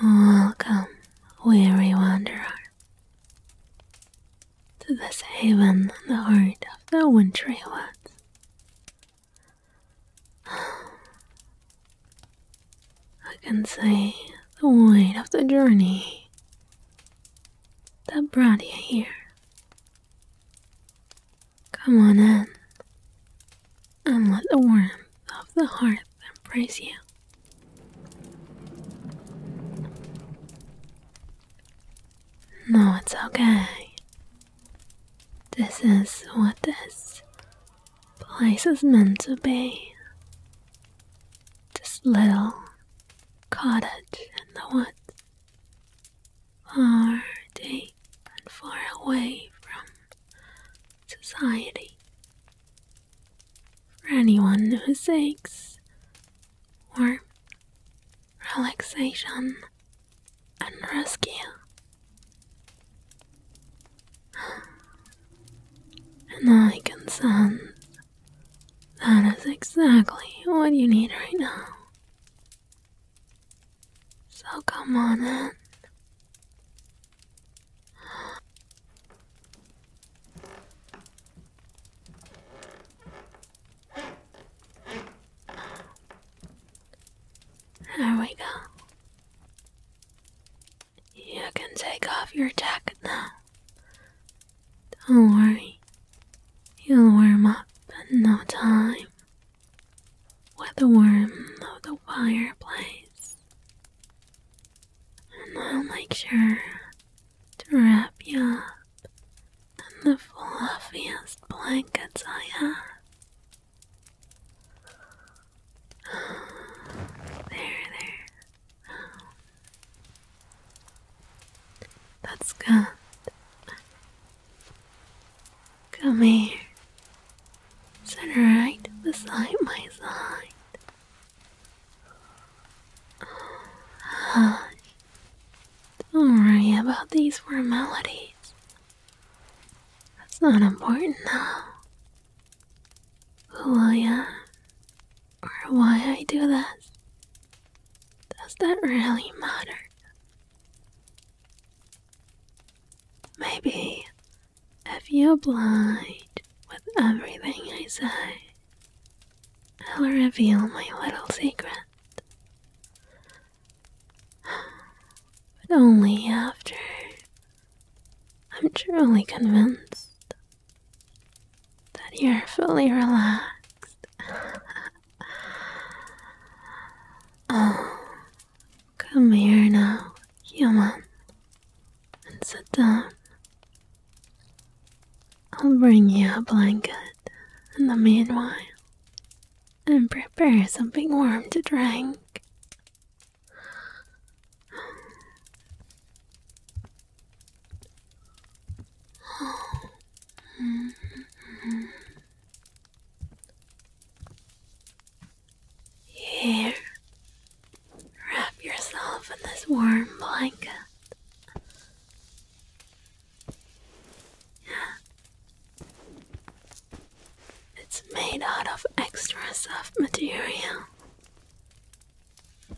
Welcome, weary wanderer, to this haven in the heart of the wintry woods. I can say the weight of the journey that brought you here. Come on in and let the warmth of the hearth embrace you. No, it's okay. This is what this Place is meant to be. This little cottage in the woods, far deep and far away from society. For anyone who seeks warmth, relaxation, and rescue. And I can sense that is exactly what you need right now. So come on in. There we go. You can take off your jacket now. Don't worry, you'll warm up in no time. With the warmth of the fireplace, and I'll make sure to wrap you up in the fluffiest blankets I have. There, there. That's good. Come here. Sit right beside my side. Don't worry about these formalities. That's not important now who I am or why I do this? Does that really matter? Maybe if you oblige with everything I say, I'll reveal my little secret. But only after I'm truly convinced that you're fully relaxed. Oh, come here now, human, and sit down. I'll bring you a blanket in the meanwhile and prepare something warm to drink. Here, wrap yourself in this warm blanket. It's made out of extra soft material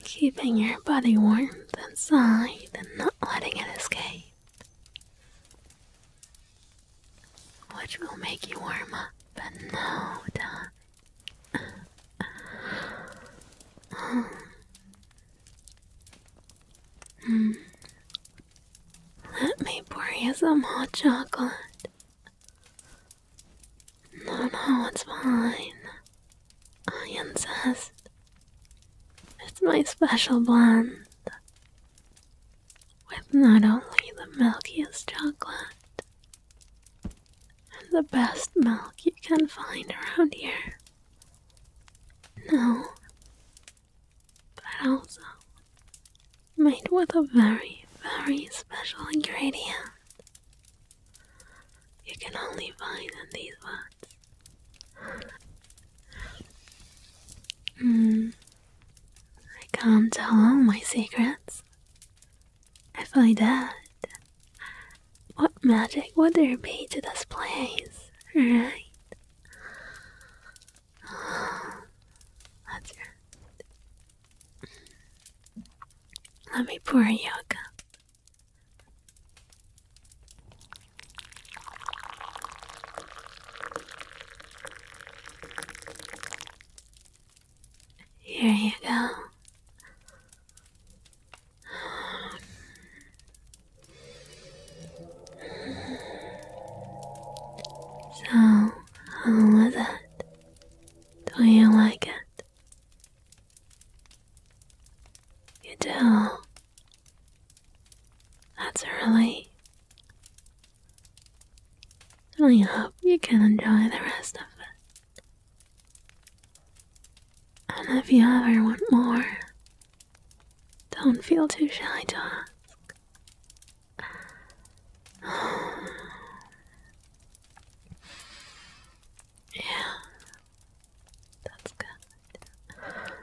keeping your body warm inside and not letting it escape, which will make you warm up in no time. mm. Hmm. Let me pour you some hot chocolate. No, no, it's fine. I insist. It's my special blend. With not only the milkiest chocolate, and the best milk you can find around here. No, but also made with a very, very special ingredient. You can only find in these woods. Mm. I can't tell all my secrets. If I did, what magic would there be to this place, right? Ah, that's let me pour you a cup. Here you go. So, how was it? Do you like it? You do. That's a relief. I hope you can enjoy the rest of it. And if you ever want more, don't feel too shy to ask. Yeah, that's good.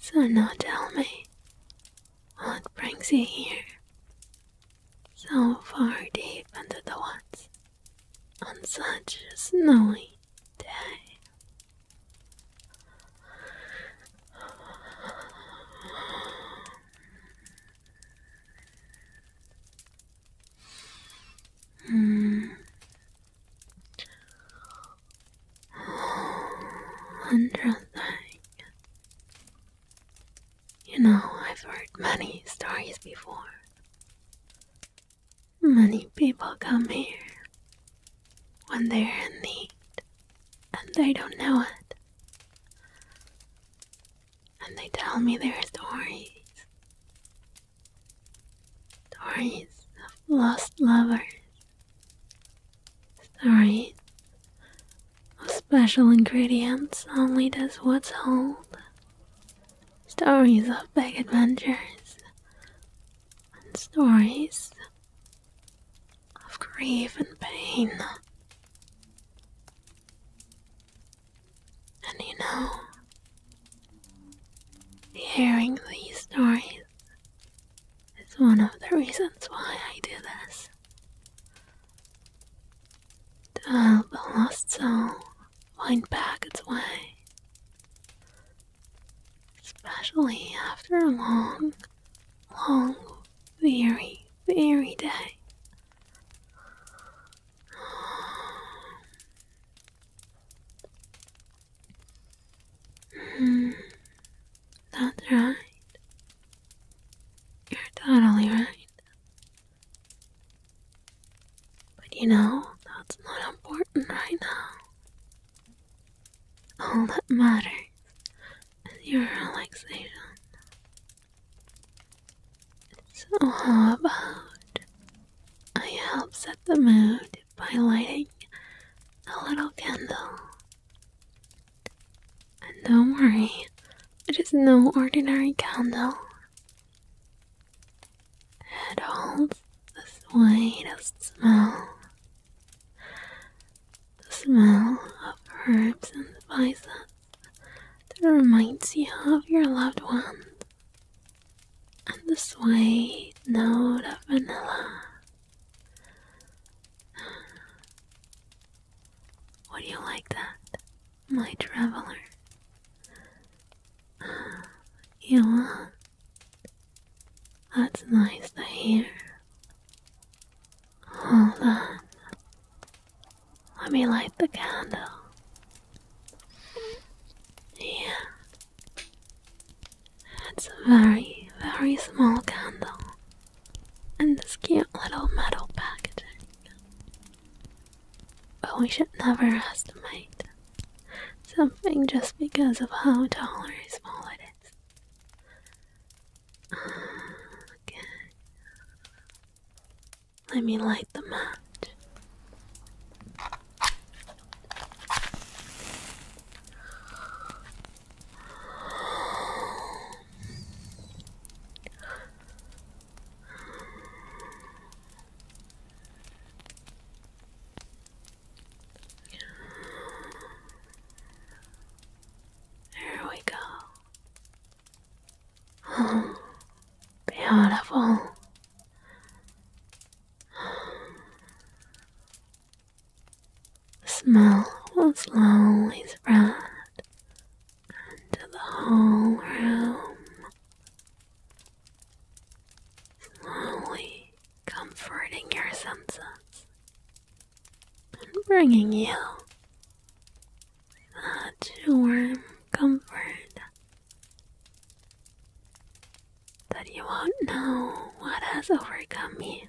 So now tell me, what brings you here? So far deep into the woods, on such a snowy day. Mm. Wonderful You know, I've heard many stories before. Many people come here when they're in need and they don't know it and they tell me their stories. Stories of lost lovers. Stories of special ingredients only does what's hold. Stories of big adventures. And stories of grief and pain. And you know, hearing these stories is one of the reasons why I do this. To help a lost soul find back its way. Especially after a long, long, weary, weary day Mm, that's right. You're totally right. But you know, that's not important right now. All that matters is your relaxation. So, how about I help set the mood by lighting a little candle? And don't worry, it is no ordinary candle. It holds the sweetest smell. The smell of herbs and spices that reminds you of your loved one. And the sweet note of vanilla. Would you like that, my traveler? You That's nice to hear. Hold on. Let me light the candle. Yeah. It's a very, very small candle. And this cute little metal packaging. But we should never estimate something just because of how tall or small it is. Ah, okay. Let me light the match. There we go beautiful. The smell will slowly spread into the whole room, slowly comforting your senses and bringing you such warm comfort that you won't know what has overcome me.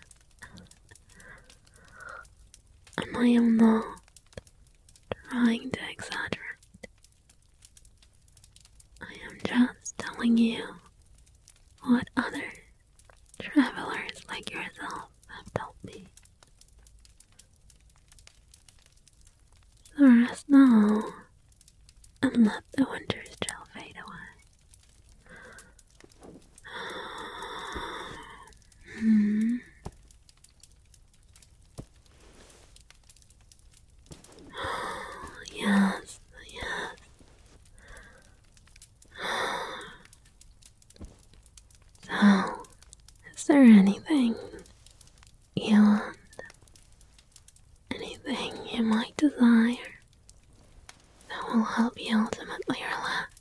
And I am not trying to exaggerate. I am just telling you what other travelers like yourself have told me. So rest now and let the winter's chill fade away. hmm. yes, yes. So, oh, is there anything you want? Anything you might desire that will help you ultimately relax?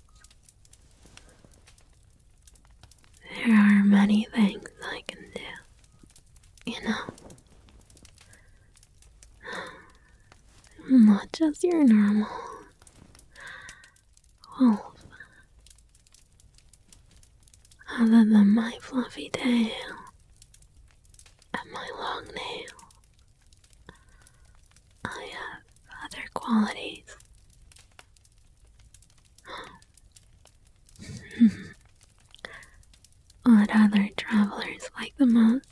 There are many things I can do, you know. I'm not just your normal wolf. Other than my fluffy tail and my long nail, I have other qualities. what other travelers like the most?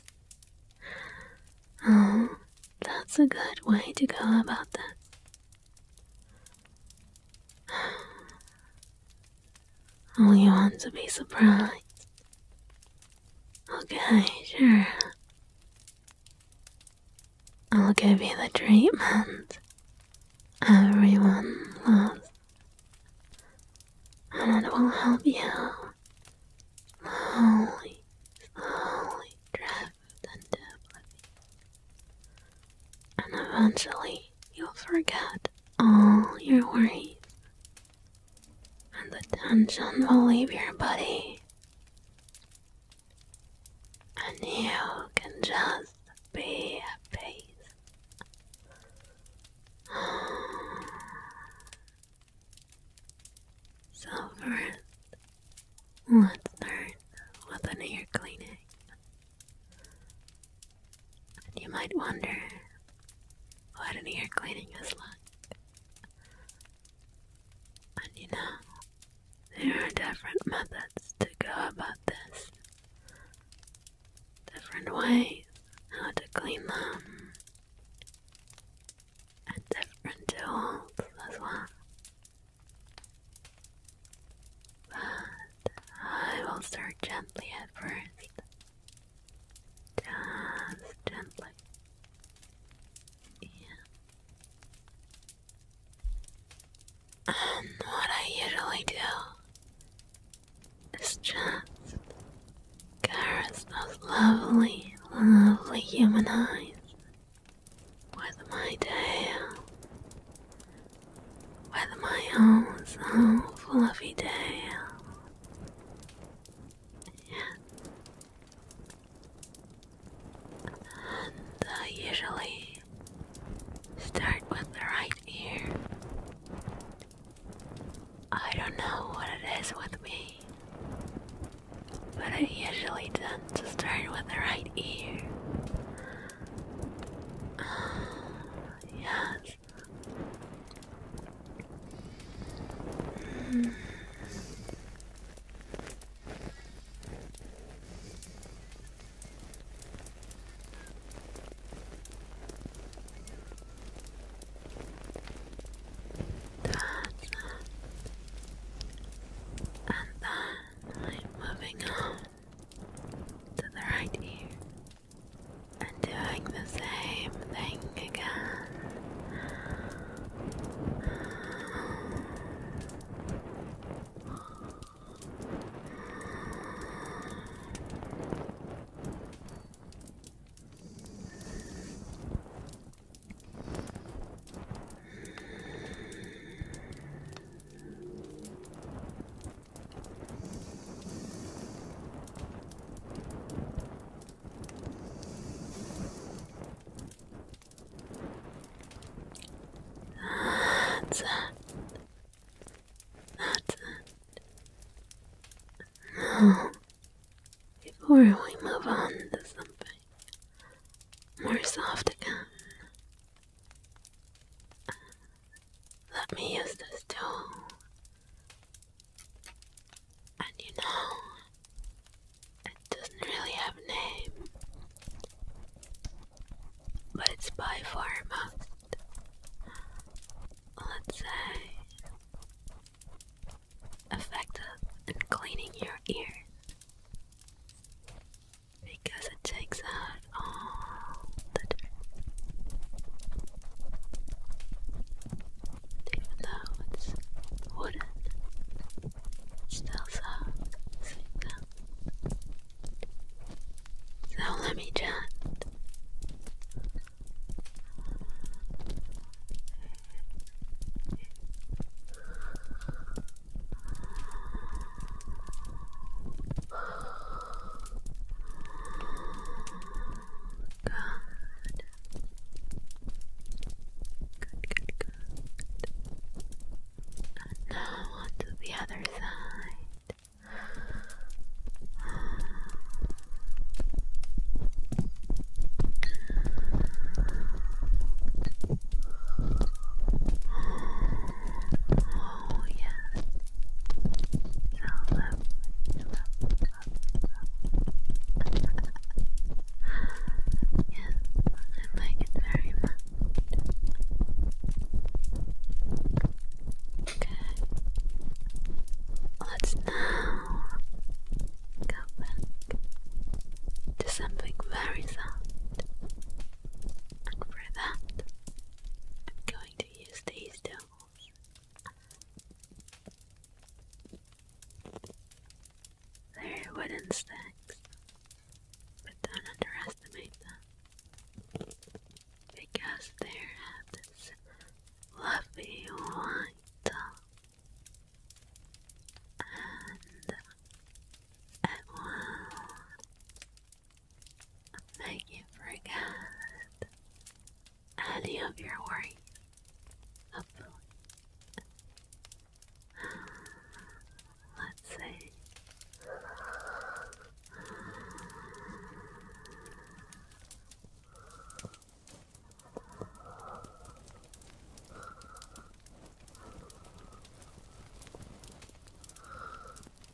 Oh, that's a good way to go about that. Oh, you want to be surprised? Okay, sure. I'll give you the treatment everyone loves. And it will help you slowly, slowly drift and eventually you'll forget all your worries. And the tension will leave your body. And you can just be at peace. So, first, Let's start with an ear cleaning. you might wonder what an ear cleaning is like. And you know, there are different methods to go about this, different ways how to clean them, and different tools as well. But I will start gently at first. Just gently. And what I usually do is just caress those lovely, lovely human eyes with my tail, with my own so fluffy tail. And I uh, usually start with the right ear. I don't know what it is with me, but I usually tend to start with the right ear yes. Mm. That. And then I'm moving on to the right ear and doing the same thing again. That's it. That's it. Now, before we move on to something more soft again, let me use this tool. And you know, it doesn't really have a name, but it's by far most, let's say, effective in cleaning your ears because it takes out all the Even though it's wooden, still soft. So let me just good, good. And now onto the other side. Oh yeah. So lovely, lovely, lovely, lovely. yes, I like it very much. Okay. Let's now go back to something very soft. And for that, I'm going to use these towels. They're wooden sticks, but don't underestimate them because they have this fluffy white top. And at Make you forget any of your worries. Let's see.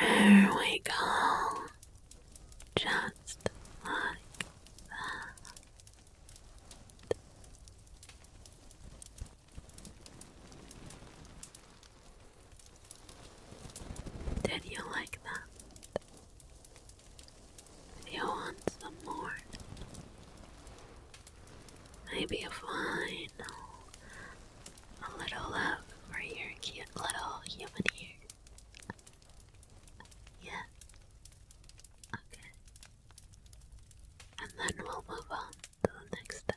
There we go. Just like that. Did you like that? you want some more? Maybe a fine, A little love uh, for your cute little human ear. Yeah. Okay. And then we'll move on to the next step.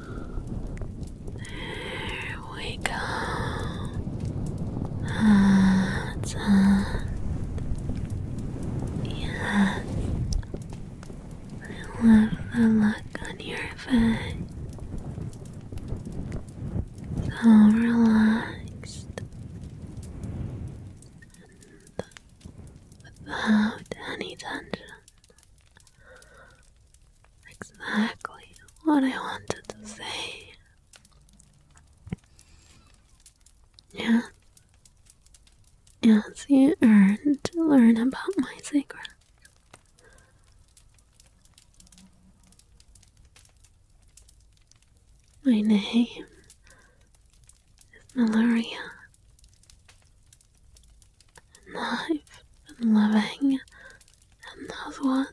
There we go. That's it. I love the look on your face. So relaxed. And without any tension. Exactly what I wanted to say. Yeah. Yes, you earned to learn about my secret. My name is Malaria alive and loving, and those what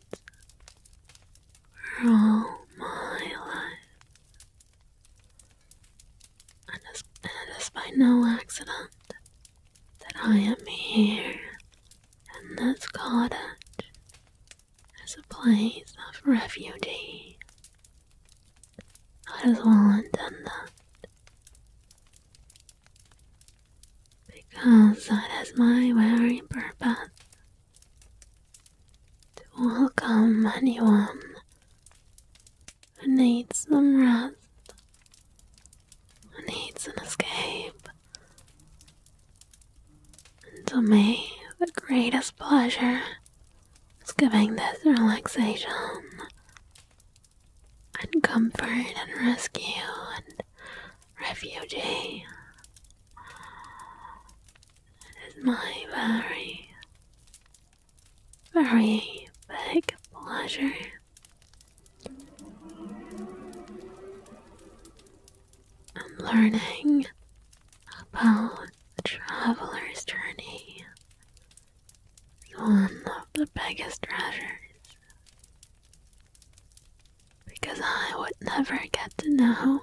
for all my life. And it is by no accident that I am here, and this cottage is a place of refuge. I refugee. That is well that because that is my very purpose to welcome anyone who needs some rest, who needs an escape, to me, the greatest pleasure is giving this relaxation and comfort and rescue and refugee. It is my very, very big pleasure. I'm learning about traveler's journey one oh, of the biggest treasures. Because I would never get to know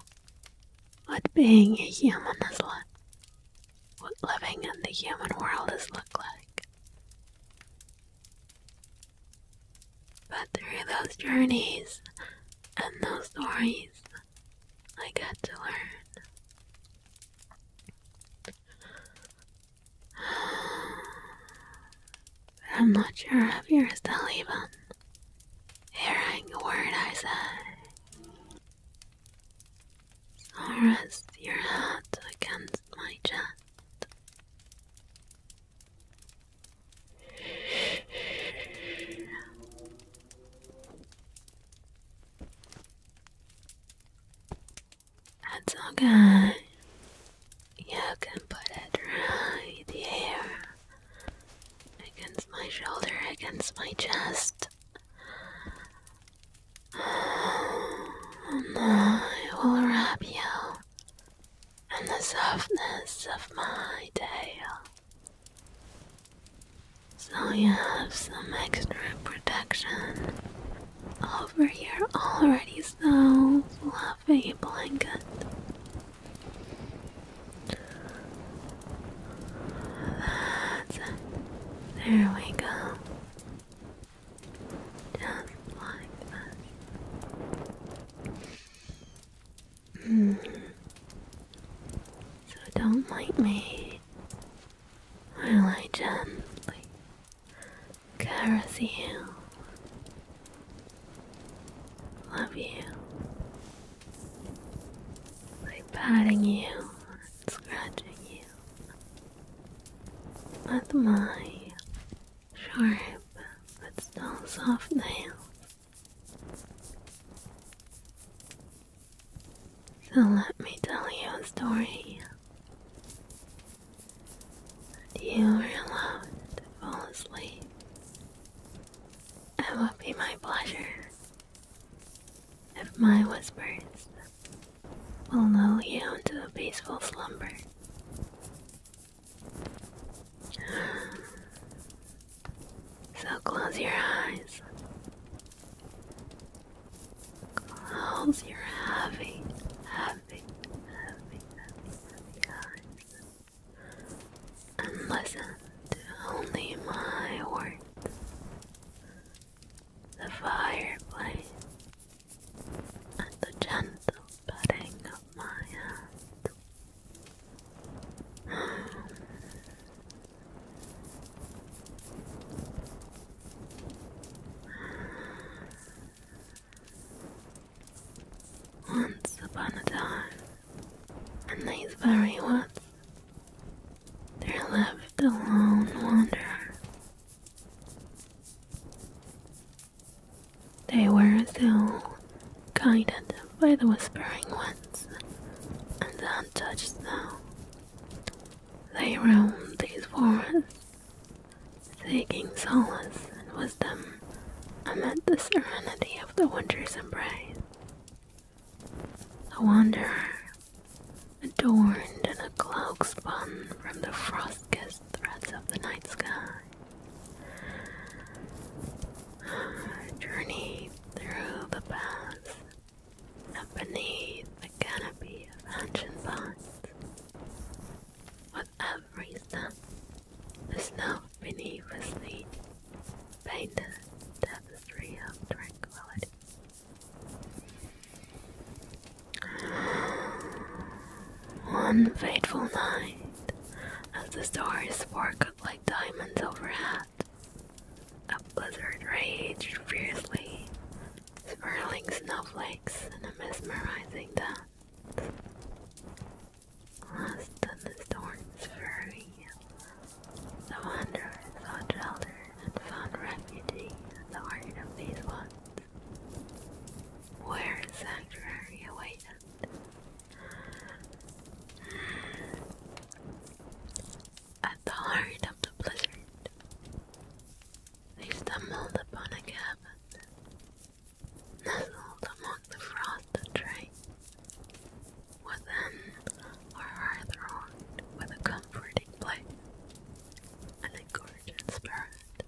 what being a human is like, what living in the human world is look like. But through those journeys and those stories, I got to learn. But I'm not sure if you're still even hearing a word I say. i rest your head against my chest. That's okay. You can put it right here. Against my shoulder, against my chest. And I will wrap you in the softness of my tail. So you have some extra protection over here already so fluffy blanket. There we go. Just like that. Mm-hmm. So don't like me. I lie gently caress you, love you I'm patting you scratching you with my sharp but still soft nails. So let me tell you a story you are allowed to fall asleep. It would be my pleasure if my whispers will lull you into a peaceful slumber. So close your eyes Clouds your heavy, heavy, heavy, heavy, eyes and listen to only my words. The fireplace and the gentle petting of my hand. Once upon a time, in these very woods, there lived a lone They were so guided by the whispering winds and the untouched snow. They roam these forests Seeking solace and wisdom amid the serenity of the winter's embrace, a wanderer, adorned in a cloak spun from the frost-kissed threads of the night sky, journeyed through the paths and beneath the canopy of ancient pines, for that reason, the snow beneath was the painted tapestry of tranquility. One fateful night, as the stars sparkled like diamonds overhead, a blizzard raged fiercely swirling snowflakes in a mesmerizing dance. Lost the storm's fury, the wanderers sought shelter and found refuge in the heart of these woods, where sanctuary awaited. At the heart of the blizzard, they stumbled upon a cabin, nestled among the frosted trees. Within, our hearth roared with a comforting blaze, and a spirit,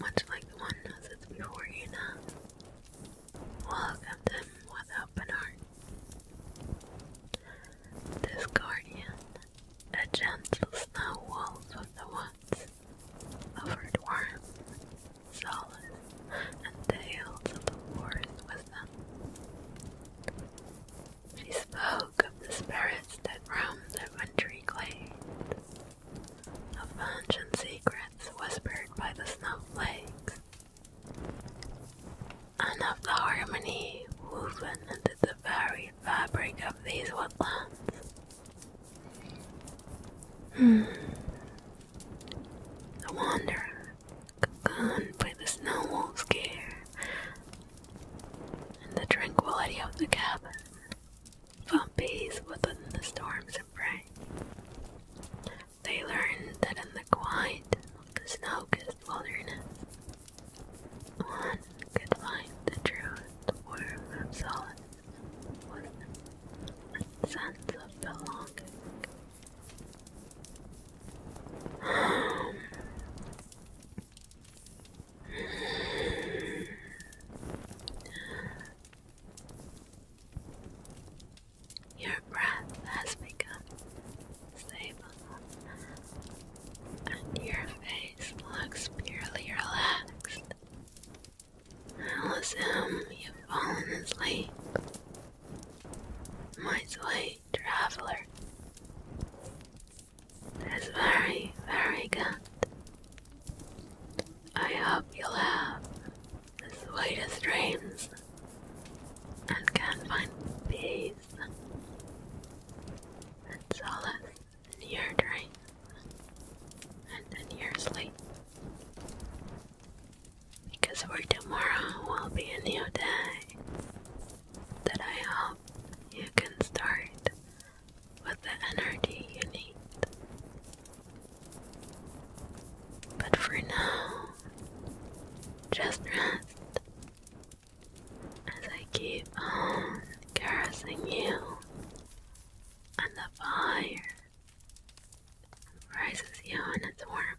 much like the one before you now, welcomed him with open heart. This guardian, a gentle snow wolf of the once, offered warmth, solace, and tales of the wars with She spoke of the spirits that roam the wintry glades, of ancient secrets whispered by the snowflakes, and of the harmony woven into the very fabric of these woodlands. Hmm. The wanderer, cocooned by the snow wolf's care, and the tranquility of the cabin, found peace within the storms and rain. They learned that in the quiet the snow-kissed wilderness, could find the truth worm of solace was sense of belonging. Your breath has become stable, and your face looks purely relaxed I'll assume you've fallen asleep. My sweet traveler. That's very, very good. I hope you'll have the sweetest dreams and can find peace and solace you're drain, and an year sleep. Because for tomorrow will be a new day that I hope you can start with the energy you need. But for now, just rest as I keep on caressing you and the fire rises young and warm.